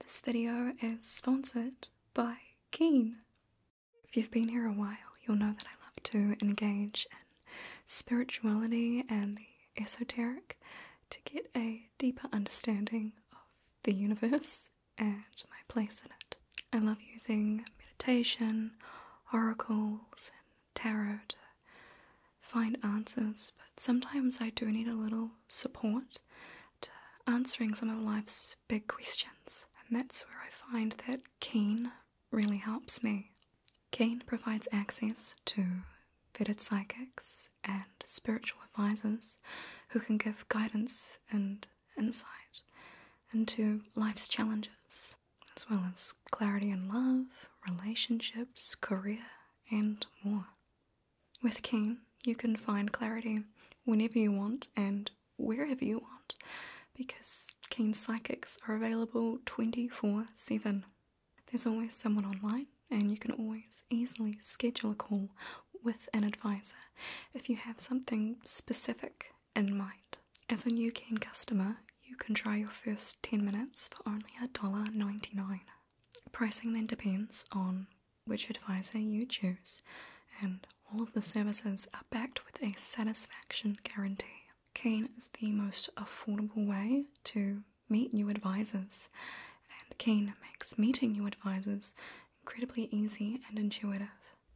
This video is sponsored by Keen. If you've been here a while, you'll know that I love to engage in spirituality and the esoteric to get a deeper understanding of the universe and my place in it. I love using meditation, oracles, and tarot find answers, but sometimes I do need a little support to answering some of life's big questions, and that's where I find that Kane really helps me. Kane provides access to vetted psychics and spiritual advisors who can give guidance and insight into life's challenges, as well as clarity in love, relationships, career, and more. With Keen, you can find clarity whenever you want and wherever you want because Keen psychics are available 24 7. There's always someone online, and you can always easily schedule a call with an advisor if you have something specific in mind. As a new Keen customer, you can try your first 10 minutes for only $1.99. Pricing then depends on which advisor you choose, and all of the services are backed with a satisfaction guarantee. Keen is the most affordable way to meet new advisors, and Keen makes meeting new advisors incredibly easy and intuitive.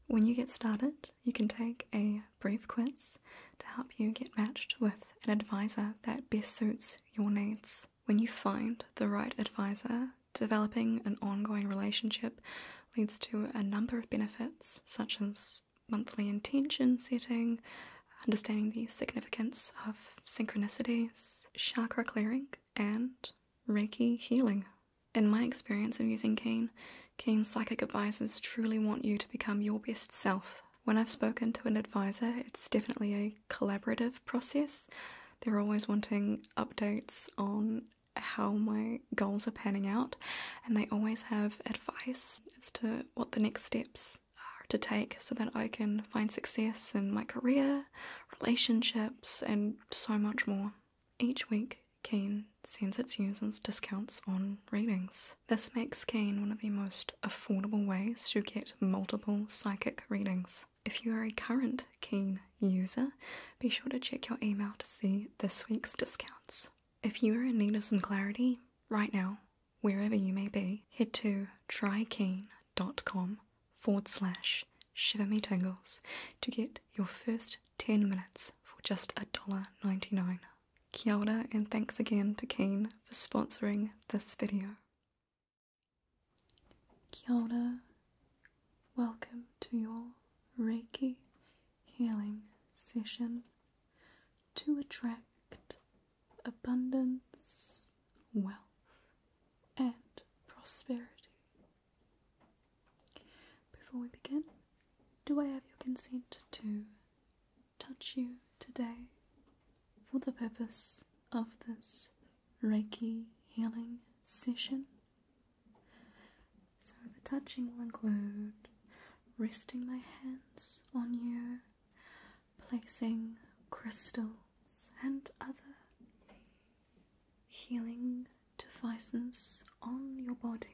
When you get started, you can take a brief quiz to help you get matched with an advisor that best suits your needs. When you find the right advisor, developing an ongoing relationship leads to a number of benefits, such as monthly intention setting, understanding the significance of synchronicities, chakra clearing, and Reiki healing. In my experience of using Keen, Keen's psychic advisors truly want you to become your best self when I've spoken to an advisor, it's definitely a collaborative process. They're always wanting updates on how my goals are panning out, and they always have advice as to what the next steps are to take so that I can find success in my career, relationships, and so much more. Each week, Kane sends its users discounts on readings. This makes Kane one of the most affordable ways to get multiple psychic readings. If you are a current Keen user, be sure to check your email to see this week's discounts. If you are in need of some clarity right now, wherever you may be, head to trykeen.com forward slash shiver to get your first 10 minutes for just $1.99. Kia ora and thanks again to Keen for sponsoring this video. Kia Welcome to your Reiki healing session to attract abundance, wealth, and prosperity. Before we begin, do I have your consent to touch you today for the purpose of this Reiki healing session. So, the touching will include resting my hands on you, placing crystals and other healing devices on your body.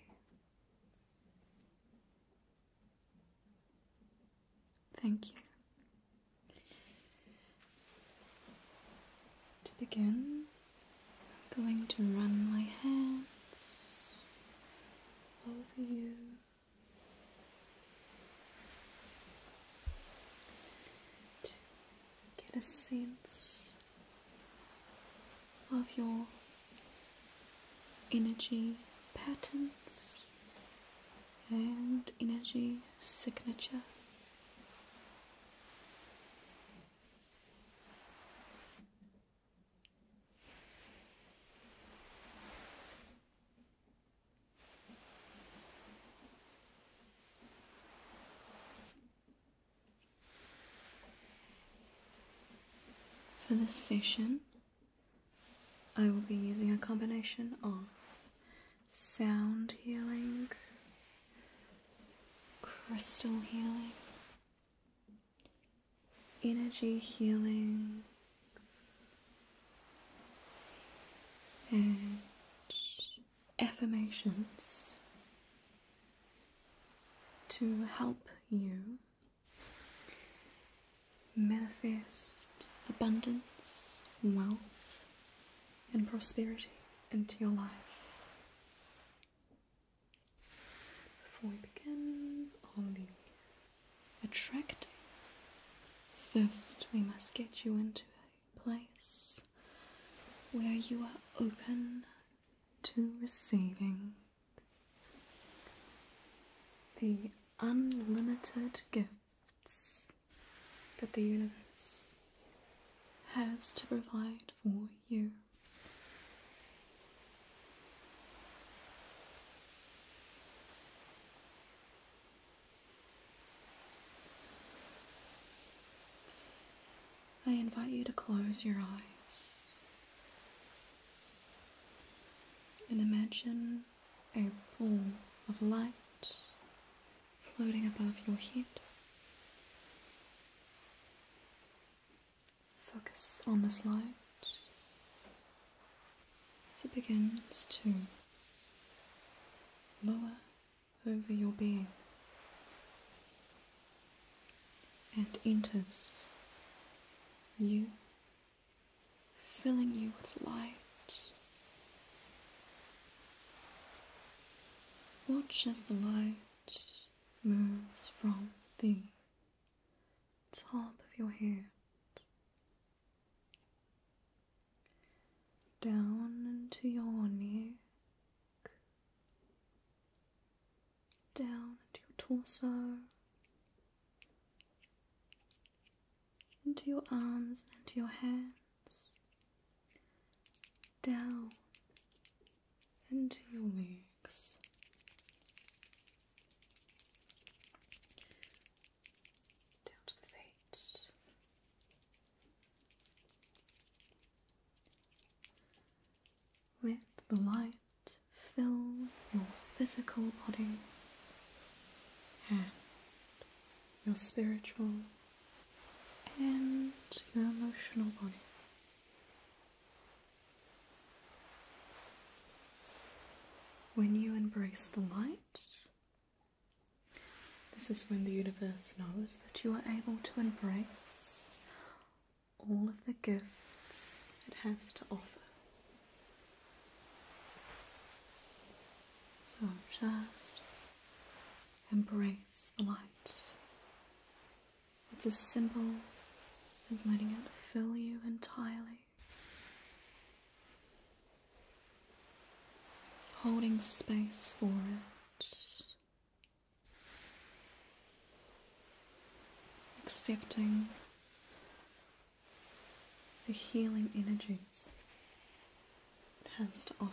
Thank you. To begin, I'm going to run my hands over you. to Get a sense of your energy patterns and energy signature. For this session, I will be using a combination of sound healing, crystal healing, energy healing, and affirmations to help you manifest abundance, wealth, and prosperity into your life. Before we begin on the attracting, first we must get you into a place where you are open to receiving the unlimited gift that the universe has to provide for you. I invite you to close your eyes and imagine a pool of light floating above your head. Focus on this light as it begins to lower over your being and enters you filling you with light. Watch as the light moves from the top of your head down into your neck, down into your torso, into your arms and to your hands, down into your legs. Down to the feet. Let the light fill your physical body and your spiritual and your emotional bodies. When you embrace the light, this is when the universe knows that you are able to embrace all of the gifts it has to offer so just embrace the light. It's as simple as letting it fill you entirely. Holding space for it. Accepting the healing energies it has to offer.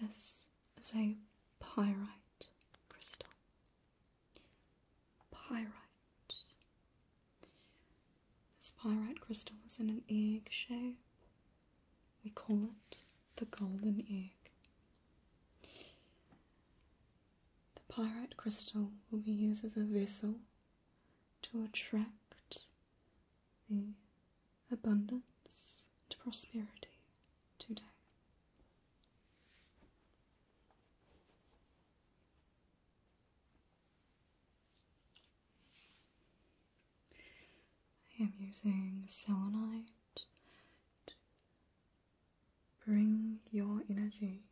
This is a pyrite crystal. Pyrite. This pyrite crystal is in an egg shape. We call it the golden egg. The pyrite crystal will be used as a vessel to attract the abundance and prosperity today. I am using selenite to bring your energy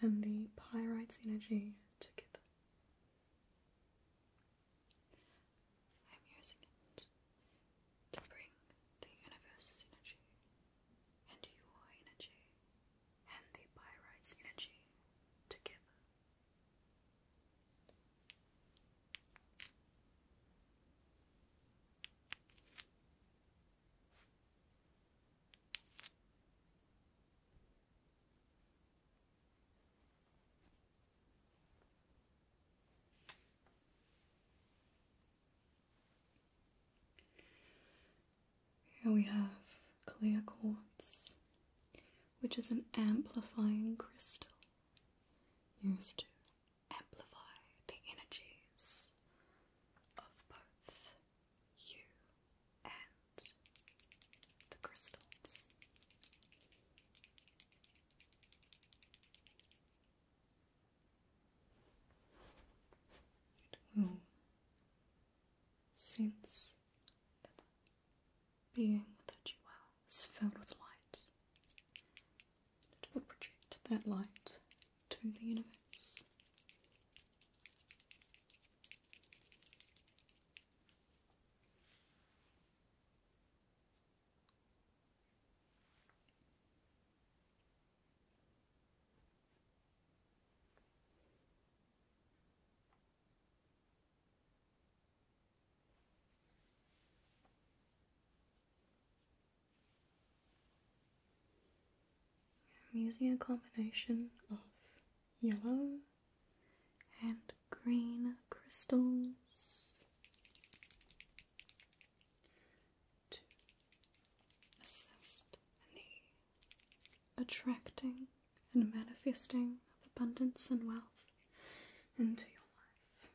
and the pyrite's energy together. I'm using it to bring the universe's energy and your energy and the pyrite's energy together. Here we have clear quartz, which is an amplifying crystal used to amplify the energies of both you and the crystals. It will sense that the being that you are is filled with light. It will project that light to the universe. I'm using a combination of yellow and green crystals to assist in the attracting and manifesting of abundance and wealth into your life.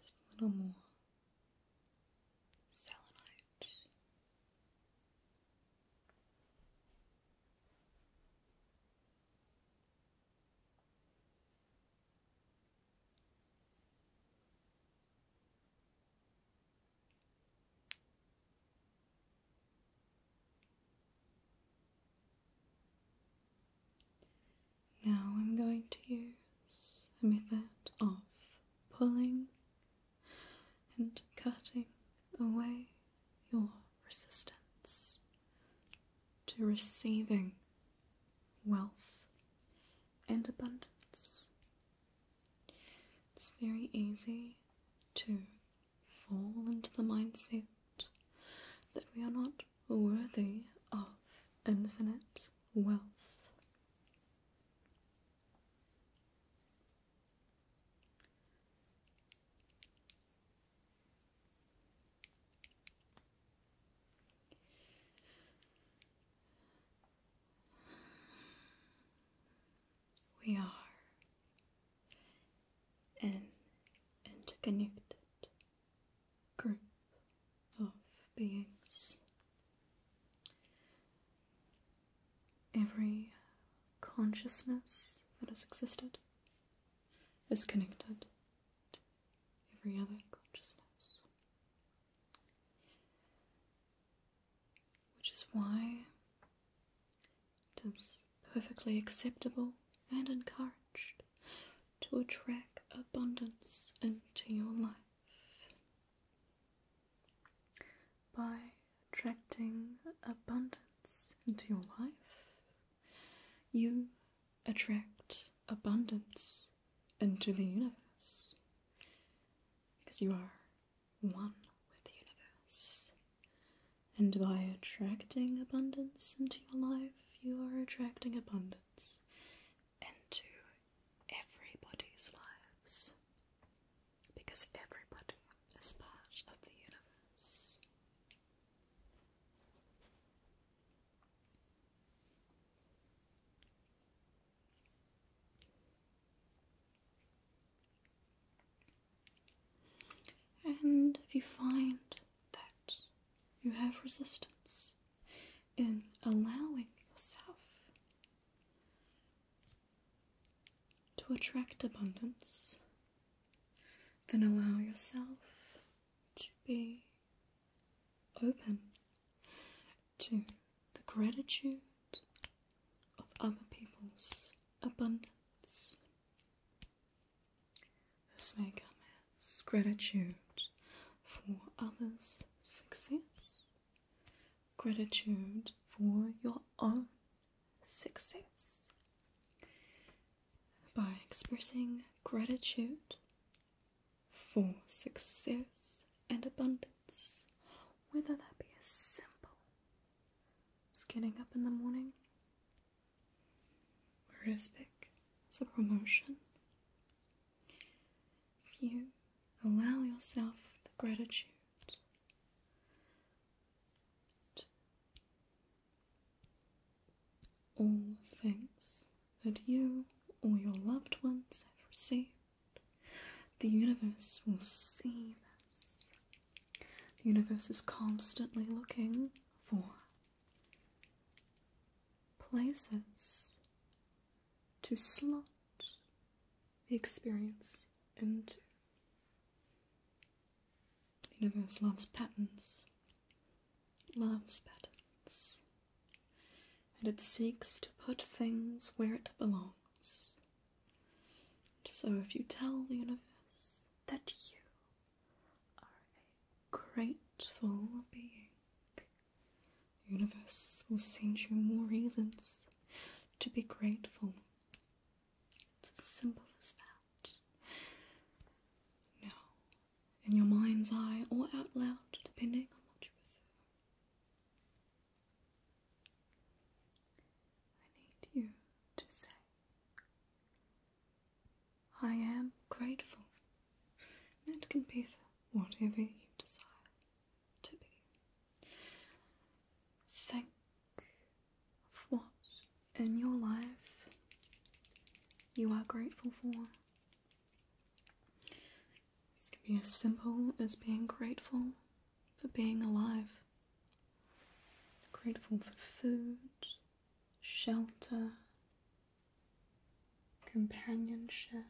Just a little more selenite. Now I'm going to use a method of pulling and cutting away your resistance to receiving wealth and abundance. It's very easy to fall into the mindset that we are not worthy of infinite wealth. We are an interconnected group of beings. Every consciousness that has existed is connected to every other consciousness. Which is why it is perfectly acceptable and encouraged to attract abundance into your life by attracting abundance into your life you attract abundance into the universe because you are one with the universe. And by attracting abundance into your life, you are attracting abundance into everybody's lives because everybody is part of the universe. And if you find that you have resistance in allowing yourself to attract abundance, then allow yourself to be open to the gratitude of other people's abundance. This may come as gratitude for others' success, gratitude for your own success, by expressing gratitude for success and abundance, whether that be as simple as getting up in the morning, or as big as a promotion. you allow yourself the gratitude all things that you or your loved ones have received. The universe will see this. The universe is constantly looking for places to slot the experience into. The universe loves patterns. Loves patterns. And it seeks to put things where it belongs. So if you tell the universe that you are a grateful being, the universe will send you more reasons to be grateful it's as simple as that. Now, in your mind's eye or out loud, depending on what you prefer, I need you to say, I am grateful. It can be for whatever you desire to be. Thank what in your life you are grateful for. This can be as simple as being grateful for being alive, grateful for food, shelter, companionship,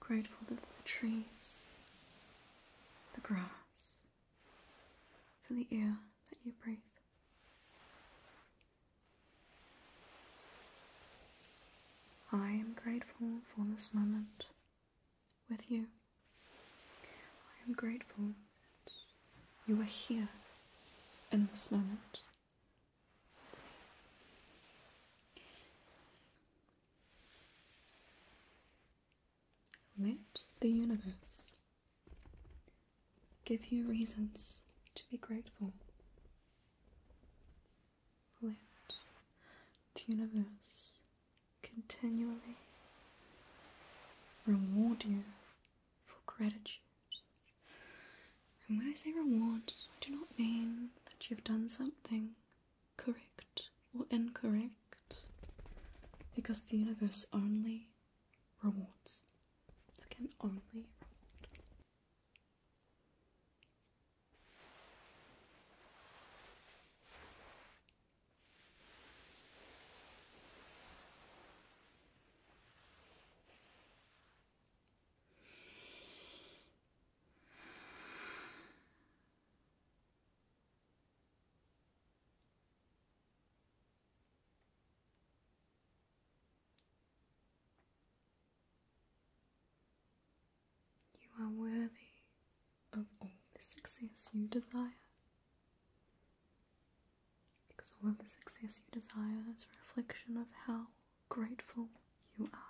grateful for the trees, the grass, for the air that you breathe. I am grateful for this moment with you. I am grateful that you are here in this moment. Let the universe give you reasons to be grateful. Let the universe continually reward you for gratitude. And when I say reward, I do not mean that you've done something correct or incorrect because the universe only rewards. It can only reward. You are worthy of all the success you desire. Because all of the success you desire is a reflection of how grateful you are.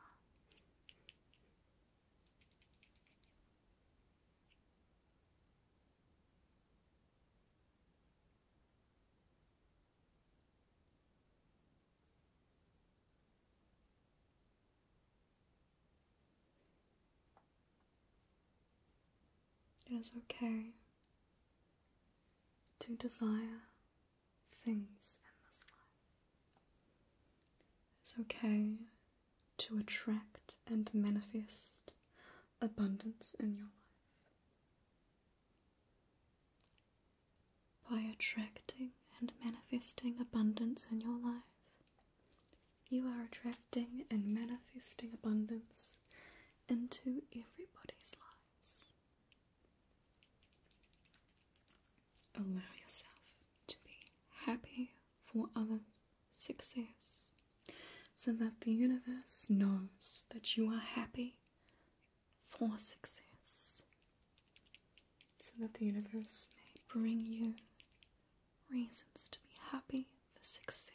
It is okay to desire things in this life. It's okay to attract and manifest abundance in your life. By attracting and manifesting abundance in your life, you are attracting and manifesting abundance into everybody's lives. Allow yourself to be happy for others success so that the universe knows that you are happy for success, so that the universe may bring you reasons to be happy for success.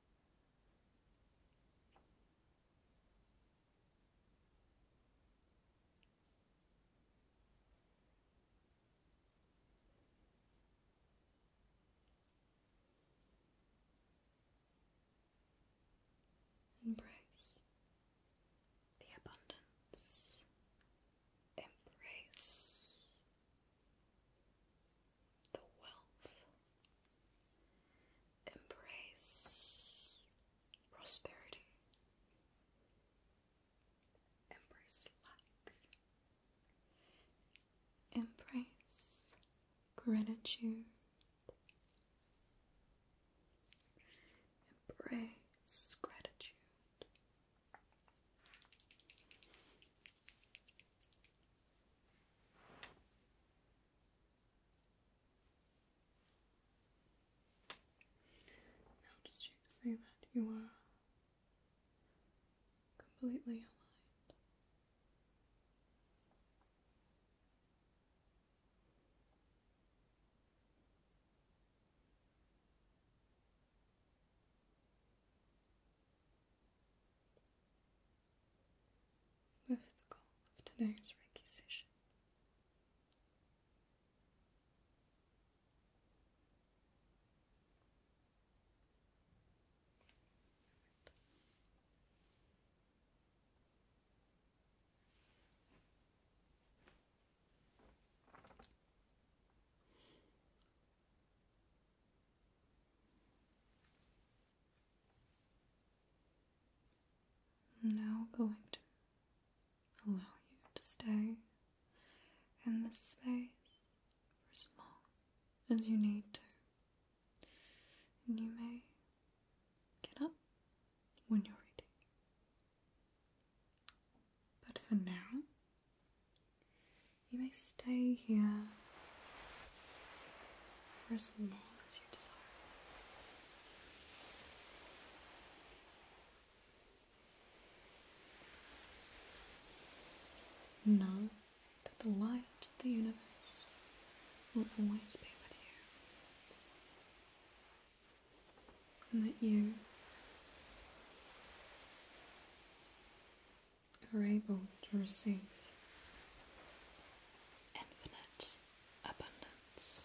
Embrace the abundance. Embrace the wealth. Embrace prosperity. Embrace light. Embrace gratitude. Embrace gratitude. Now just check to say that you are completely aligned with the goal of tonight's recitation. I'm now going to allow you to stay in this space for as long as you need to. And you may get up when you're ready. But for now, you may stay here for as long as you desire. Know that the light of the universe will always be with you, and that you you are able to receive infinite abundance.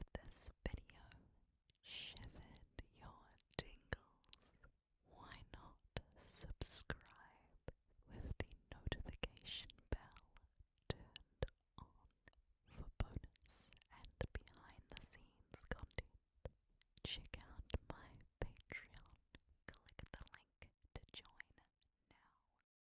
If this video shivered your tingles, why not subscribe with the notification bell turned on for bonus and behind the scenes content? Check out my Patreon. Click the link to join now.